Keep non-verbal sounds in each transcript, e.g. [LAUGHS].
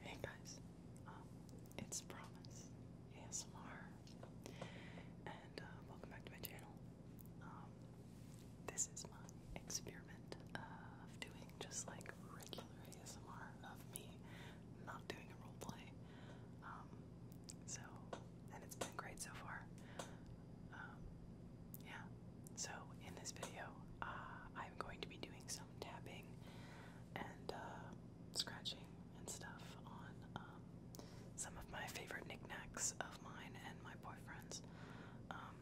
Hey guys, um, it's Promise ASMR, and uh, welcome back to my channel. Um, this is my experiment of doing just like regular ASMR of me not doing a roleplay. Um, so, and it's been great so far. Um, yeah. So in this video, uh, I'm going to be doing some some tapping and uh, scratching and stuff on um, some of my favorite knickknacks of mine and my boyfriend's. Um,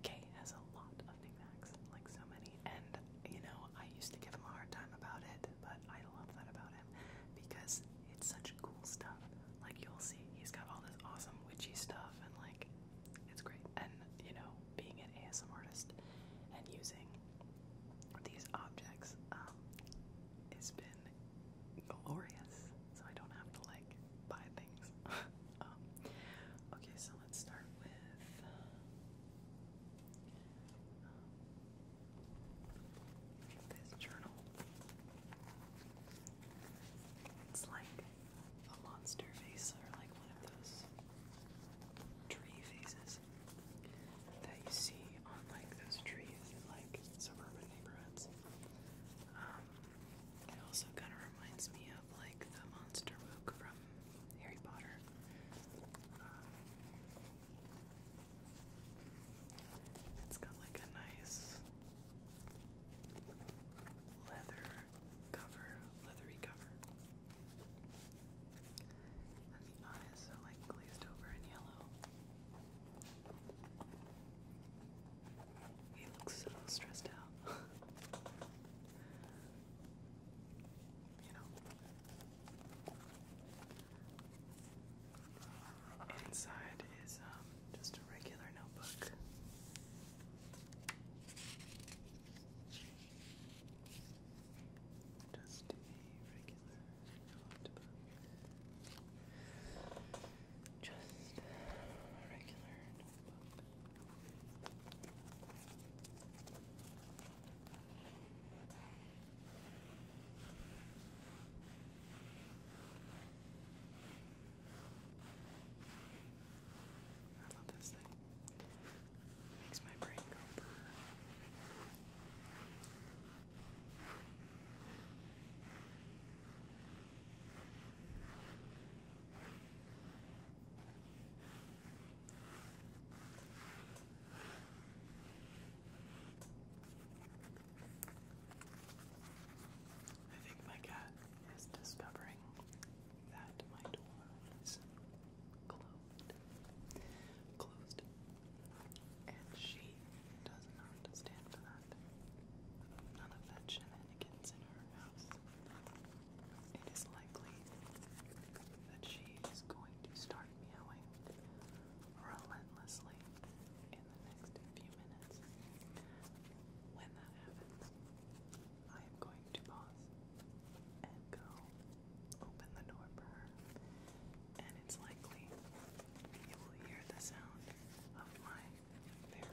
Kay has a lot of knickknacks, like so many, and you know, I used to give him a hard time about it, but I love that about him because it's such cool stuff. Like, you'll see, he's got all this awesome witchy stuff, and like, it's great. And you know, being an ASM artist and using these objects um, has been glorious. So I don't have to like buy things. [LAUGHS] Um, okay, so let's start with. Um, this journal. It's like a monster face or like one of those tree faces that you see on like those trees in like suburban neighborhoods. Um, it also kind of reminds me of like the monster book from Harry Potter. Um, it's got like a nice leather cover, leathery cover. And the eyes are like glazed over in yellow. He looks so stressed out. [LAUGHS] you know. Inside is um, just a regular notebook. Just a regular notebook. Just a regular notebook. I love this thing. Makes my brain go burr. I I think my cat is discovering that my door is closed. Closed. And she does not stand for that. None of that shenanigans in her house. It is likely that she is going to start meowing relentlessly in the next few minutes. When that happens, I am going to pause and go open the door for her. And it's likely you will hear the sound of my very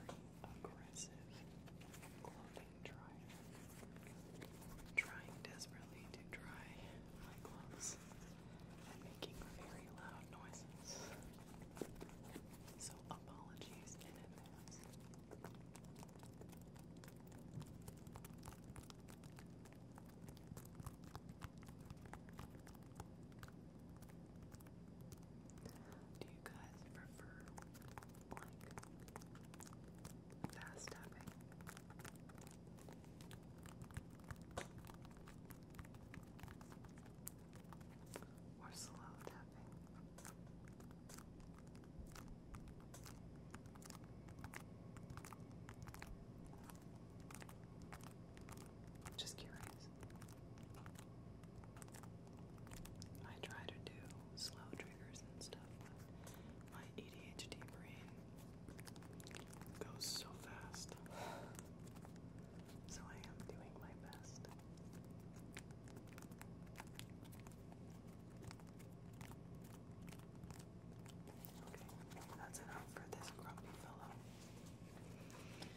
aggressive clothing dryer. Trying desperately to dry my clothes and making very loud noises. So in advance. Do you guys prefer like fast tapping? or slow tapping. Just curious. I try to do slow triggers and stuff, but my ADHD brain goes so fast so I am doing my best. Okay, that's enough for this grumpy fellow. Next.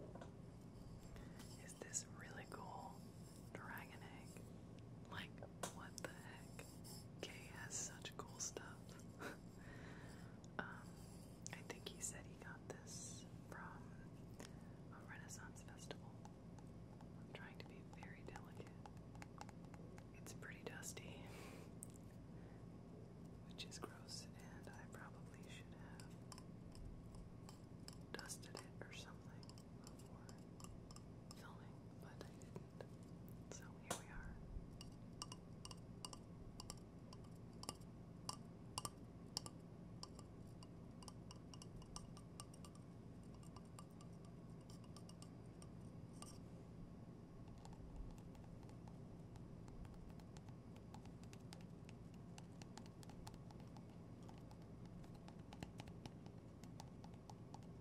Next. Is this really cool dragon egg? Like, what the heck? Kay has such cool stuff. [LAUGHS] Um, I think he said he got this from a Renaissance festival. I'm trying to be very delicate. It's pretty dusty, which is gross, and I probably should have dusted it or something before filming, but I didn't. So here we are.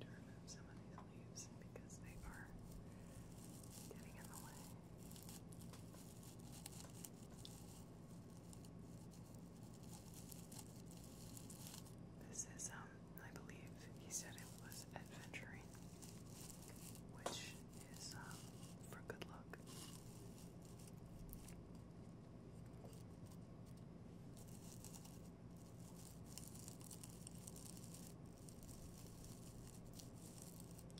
to remove some of these leaves because they are getting in the way. This is, um, I believe he said it was adventuring, which is, um, for good luck.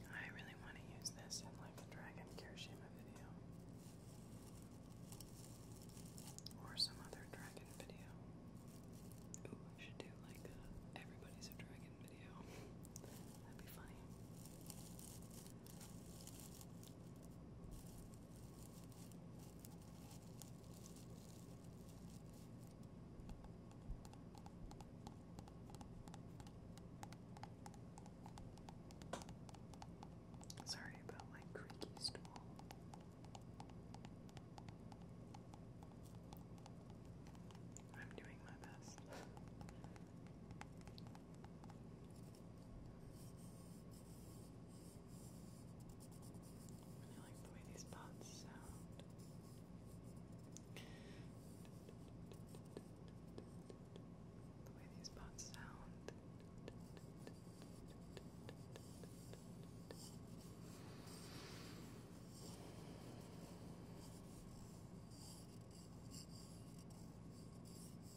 I really want to use this in like a Dragon Kirishima video. Or some other dragon video. Ooh, should do like a uh, everybody's a dragon video. [LAUGHS] That'd be funny. Sorry about my creaky stool. I'm doing my best. [LAUGHS] I like the way these pots sound. The way these pots sound. Thank Okay,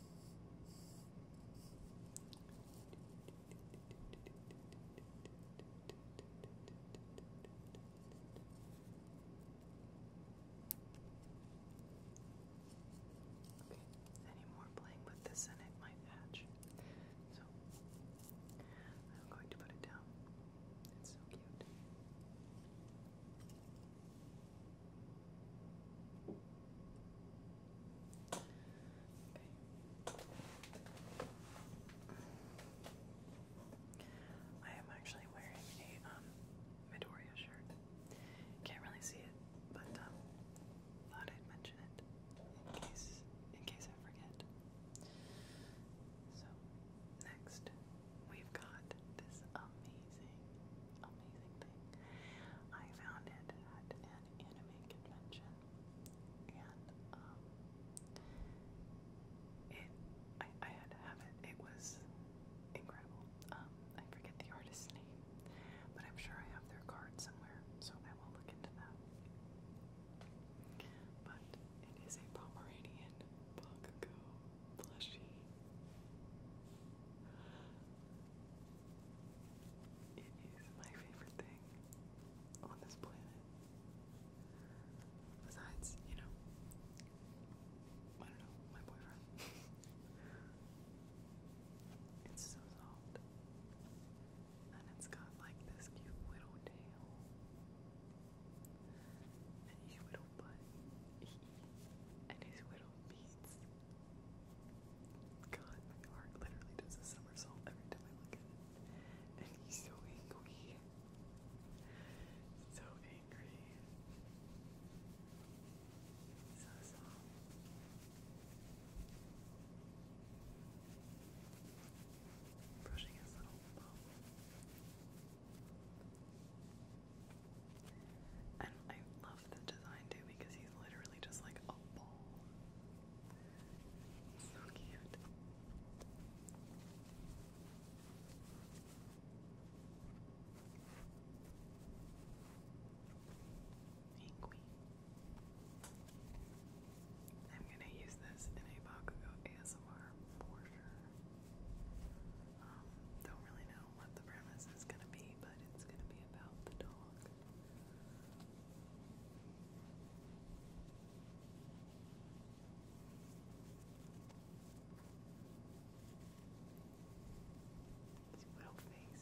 any more playing with this and it might hatch. So I'm going to put it down. It's so cute. I am actually wearing a um, Midoriya shirt. Can't really see it, but um, thought I'd mention it in case in case I forget. So next, we've got this amazing amazing thing. I found it at an anime convention, and um, it I, had to have it. It was incredible. Um, I forget the artist's name, but I'm sure I have their card somewhere, so I will look into that. But it is a Pomeranian Bakugo Blushy. It is my favorite thing on this planet. Besides, you know, I don't know, my boyfriend. [LAUGHS] it's so soft. And it's got like this cute little tail. And his little butt. [LAUGHS] and his little beats. God, my heart literally does a somersault every time I look at it. And he's so angry. So angry. So soft. Brushing his little and I love the design too because he's literally just like a ball. So cute. Hey, I'm gonna use this in a Bakugo ASMR for sure. Um, don't really know what the premise is going to be, but it's going to be about the dog. His little face.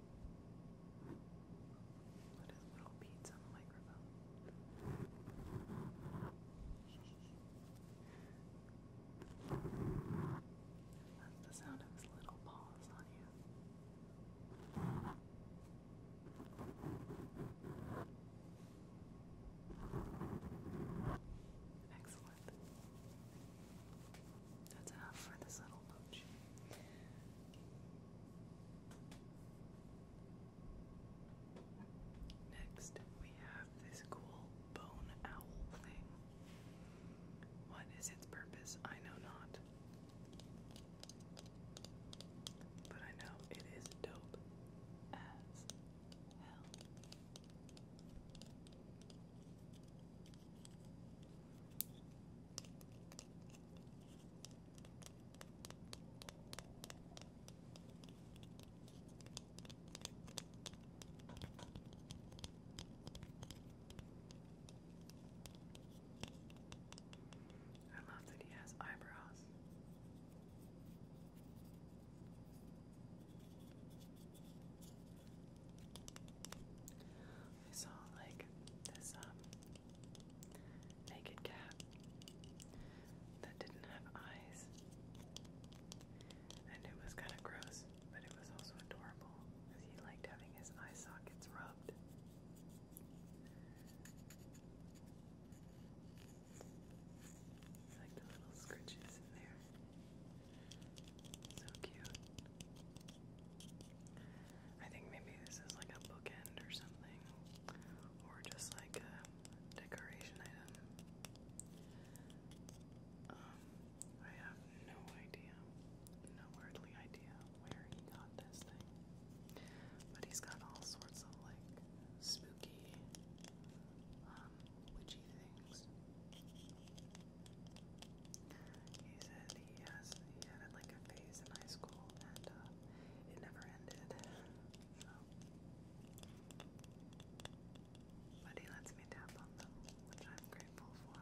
What is That's the sound of his little paws on you. Excellent. That's enough for this little pooch. Next, we have this cool bone owl thing. What is its purpose? I know not. But I know it is dope as hell. I love that he has eyebrows. I saw like this um naked cat that didn't have eyes. And it was kind of gross, but it was also adorable because he liked having his eye sockets rubbed. like the little scritches in there. So cute. I think maybe this is like a bookend or something, or just like a decoration item. Um, I have no idea, no earthly idea where he got this thing, but he's got all sorts of like spooky, um, witchy things. He said he has he had like a phase in high school and uh, it never ended. So. But he lets me tap on them, which I'm grateful for.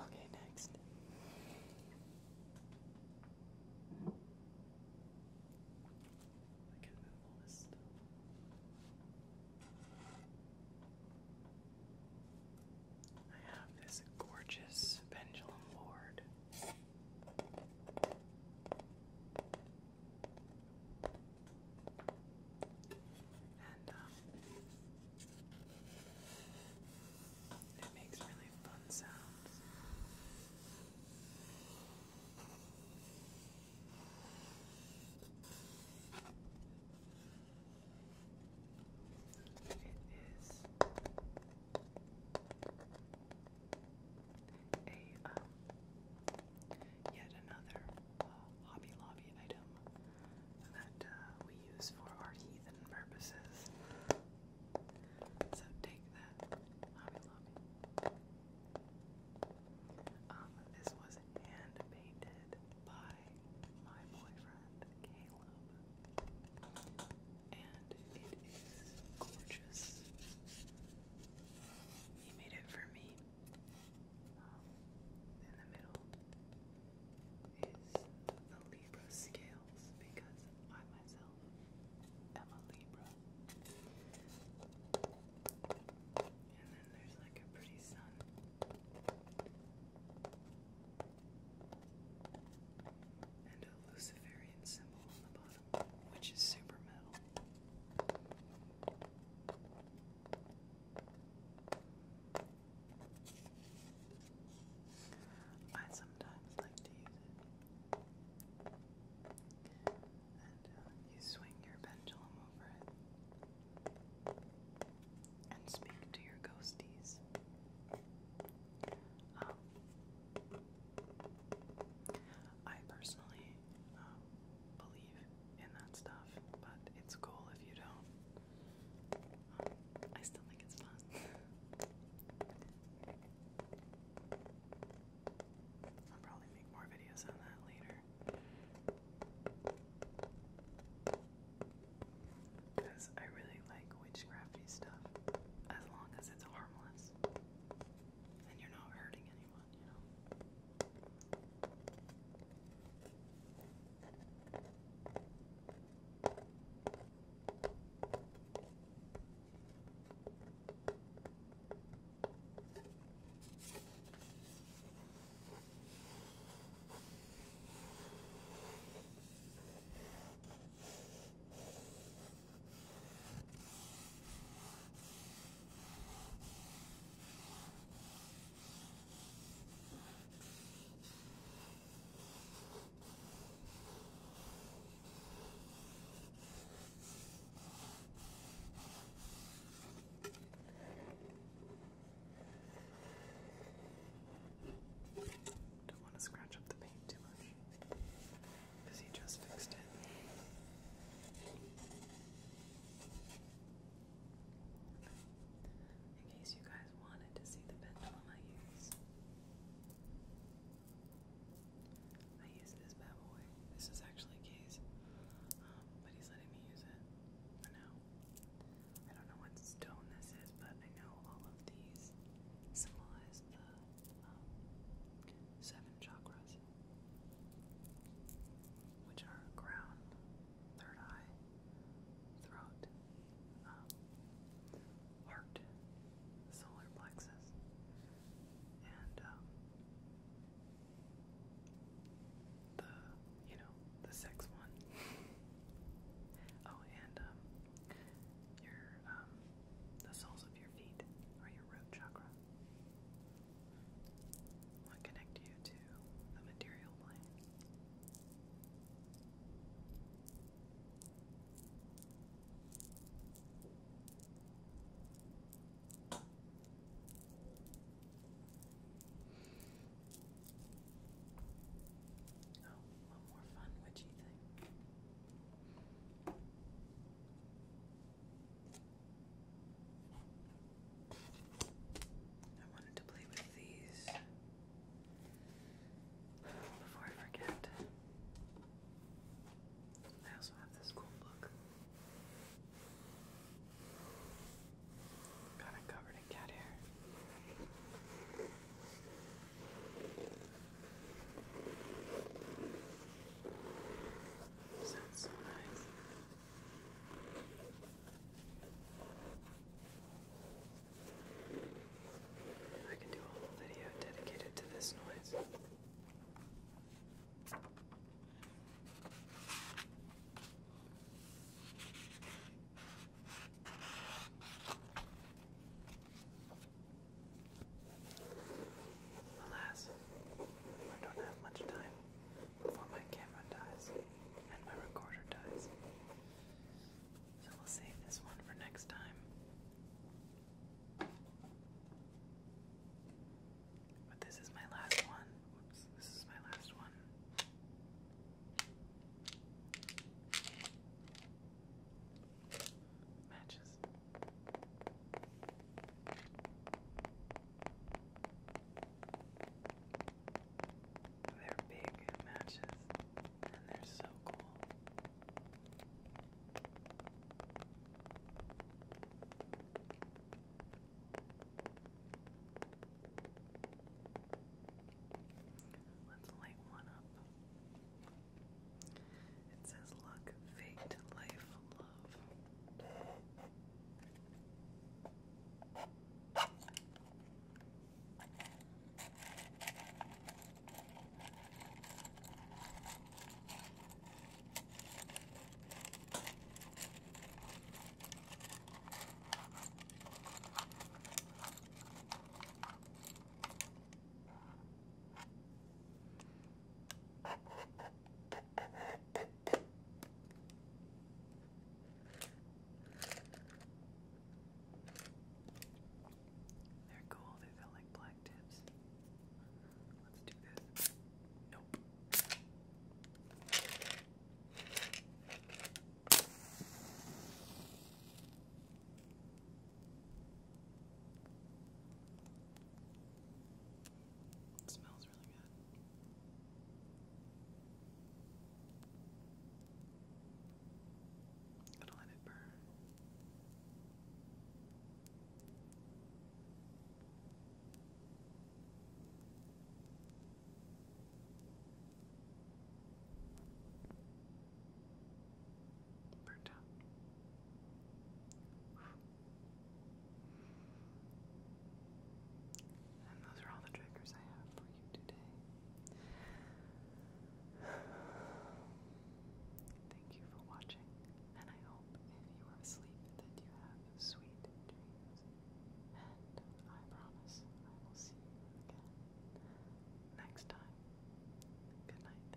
Okay, next. I can move this stuff. I have this gorgeous pendulum board. And um, it makes really fun sounds. It is a um, yet another uh, Hobby Lobby item that uh, we use for our heathen purposes. So take that, Hobby Lobby. Um, this was hand painted by my boyfriend Caleb and it is gorgeous. He made it for me. Um, in the middle is the Libra scales because I myself am a Libra. And then there's like a pretty sun. And a Luciferian symbol on the bottom which is super metal. I sometimes like to use it. And uh, you swing your pendulum over it and speak to your ghosties. Um, I personally um, believe in that stuff, but it's cool if you don't. Um, I still think it's fun. [LAUGHS] I'll probably make more videos on that later. Because I really like witchcrafty stuff as long as it's harmless is. And you're not hurting anyone, you know. Don't want to scratch up the paint too much. Because he just fixed it. In case you guys wanted to see the pendulum I use. I use this bad boy. This is actually Kay's. Um, but he's letting me use it for now. I don't know what stone this is, but I know all of these symbolize the um, seven chakras, which are crown, third eye, throat, um, heart, solar plexus, and um, the you know the sex one. [LAUGHS] oh, and your um, the soles of your feet are your root chakra. What connect you to the material plane? Oh, one more fun witchy thing. I wanted to play with these before I forget. I also have this cool book. Kind of covered in cat hair. Sounds so nice. I can do a whole video dedicated to this noise. Alas, I don't have much time before my camera dies and my recorder dies. So we'll save this one for next time. But this is my last one. Whoops, this is my last one. Matches. They're big matches and they're so cool. Let's light one up. It says, Luck, fate, life, love. They're cool, they feel like black tips. Let's do this. Nope. It smells really good. Gonna let it burn. Burnt out. And those are all the triggers I have for you today. [SIGHS] Thank you for watching, and I hope if you are asleep that you have sweet dreams. And I promise I will see you again next time. Good night.